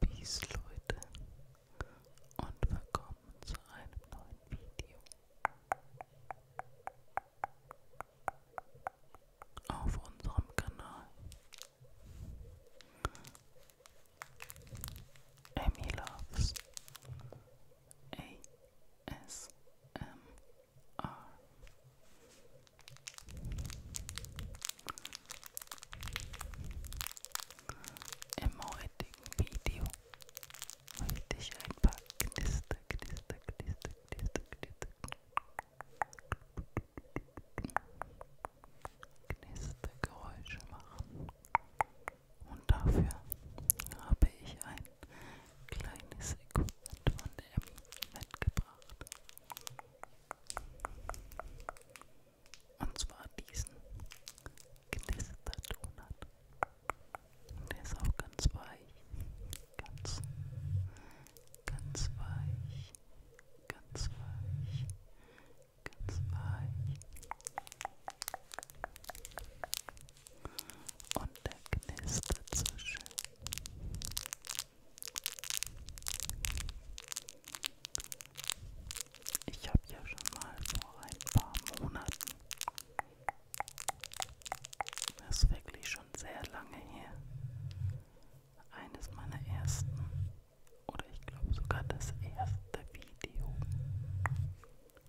Peace Leute und willkommen zu einem neuen Video auf unserem Kanal. Emmy Loves ASMR. Im heutigen Video möchte ich ein paar Knister, Knister, Knister, Knister, Knister, Knistergeräusche machen. Und dafür habe ich ein kleines Equipment von M mitgebracht. Und zwar diesen Knisterdonut. Der ist auch ganz weich. Ganz, ganz weich. Ganz weich. Ganz weich und der knistert so schön. Ich habe ja schon mal vor ein paar Monaten, das ist wirklich schon sehr lange her, eines meiner ersten oder ich glaube sogar das erste Video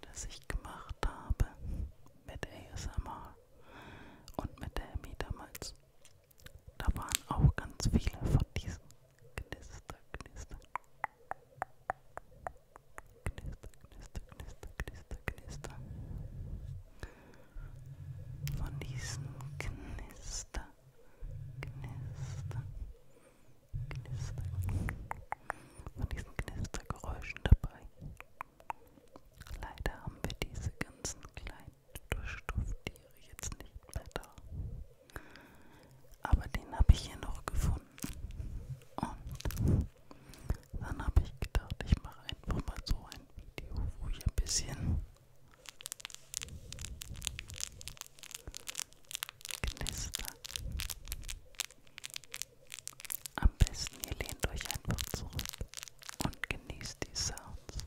das ich gemacht habe mit ASMR und mit der Emmy damals. Da waren auch ganz viele von diesen Knister, Knister. Knister, Knister, Knister, Knister, Knister. Von diesen Knister, Knister, Knister. Von diesen Knistergeräuschen dabei. Leider haben wir diese ganzen kleinen Durchstofftiere jetzt nicht mehr da. Aber den habe ich hier noch gefunden. Und dann habe ich gedacht, ich mache einfach mal so ein Video, wo ich ein bisschen knister. Am besten ihr lehnt euch einfach zurück und genießt die Sounds. Hm.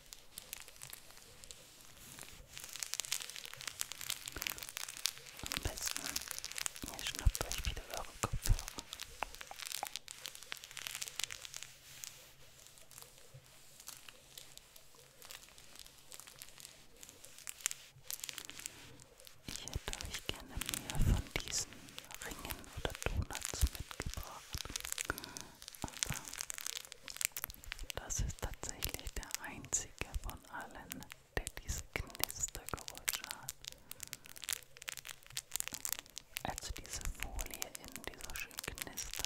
Am besten, ihr schnappt euch wieder eure Kopfhörer. Ich hätte euch gerne mehr von diesen Ringen oder Donuts mitgebracht aber das ist tatsächlich der einzige von allen, der diese Knistergeräusche hat. Also diese Folie innen, die so schön knistert.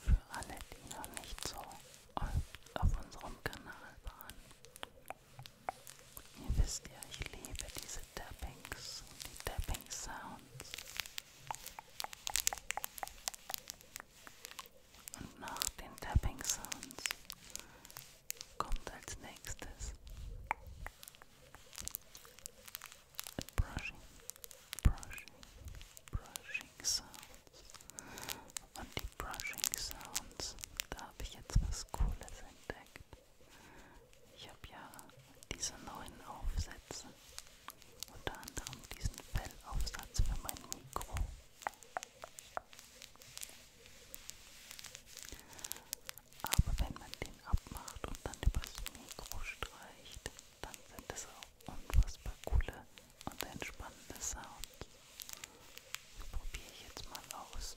Für alle, die noch nicht so auf unserem Kanal waren. Ihr wisst ja, ich liebe diese Tappings, die Tapping Sounds. Und nach den Tapping Sounds kommt als nächstes Brushing, Brushing, Brushing Sounds. Und die Brushing Sounds, da habe ich jetzt was Cooles entdeckt. Ich habe ja diese neuen Aufsätze, unter anderem diesen Fellaufsatz für mein Mikro. Aber wenn man den abmacht und dann übers Mikro streicht, dann sind es auch unfassbar coole und entspannende Sounds. Die probiere ich jetzt mal aus.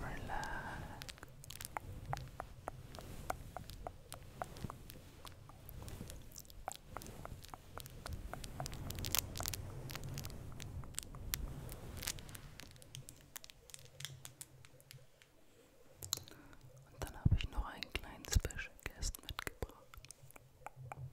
Relax. Und dann habe ich noch einen kleinen Special Guest mitgebracht.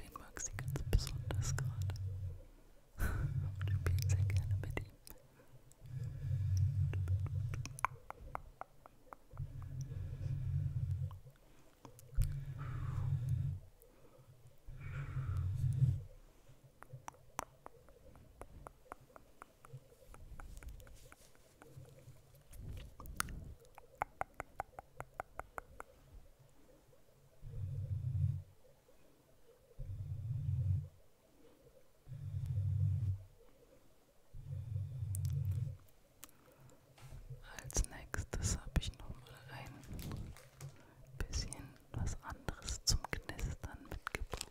Den mag sie ganz besonders gerade. Und spielt sehr gerne mit ihm. Schön. Als nächstes habe ich noch mal ein bisschen was anderes zum Knistern mitgebracht.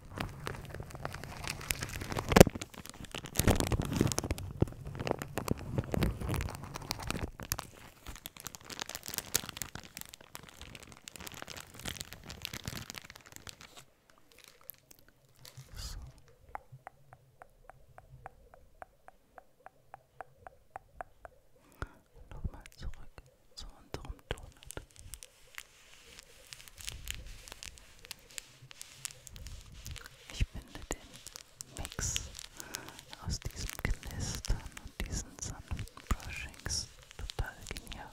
So. Nochmal zurück zu unserem Donut. Ich finde den Mix aus diesem Knistern und diesen sanften Brushings total genial.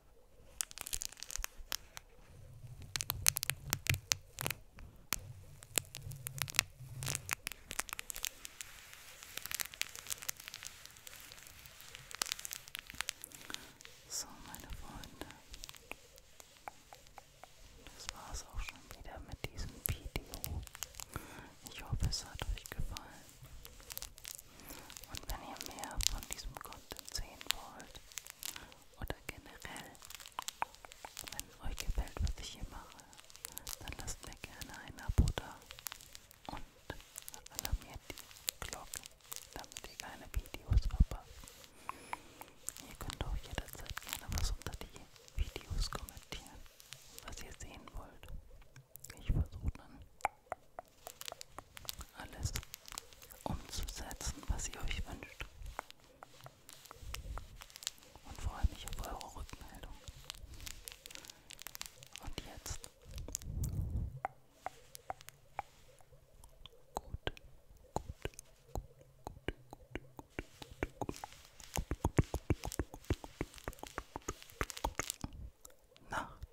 So, meine Freunde, das war es auch schon wieder mit diesem Video. Ich hoffe, es hat euch gefallen. Und wenn ihr mehr von diesem Content sehen wollt oder generell, wenn euch gefällt, was ich hier mache, dann lasst mir gerne ein Abo da und alarmiert die Glocke, damit ihr keine Videos verpasst. Ihr könnt auch jederzeit gerne was unter die Videos kommentieren, was ihr sehen wollt. Ich versuche dann alles umzusetzen, was ihr euch wünscht. Und freue mich auf eure Rückmeldung. Und jetzt gut, gut, gut, gut, gut, gut, gut, Nacht.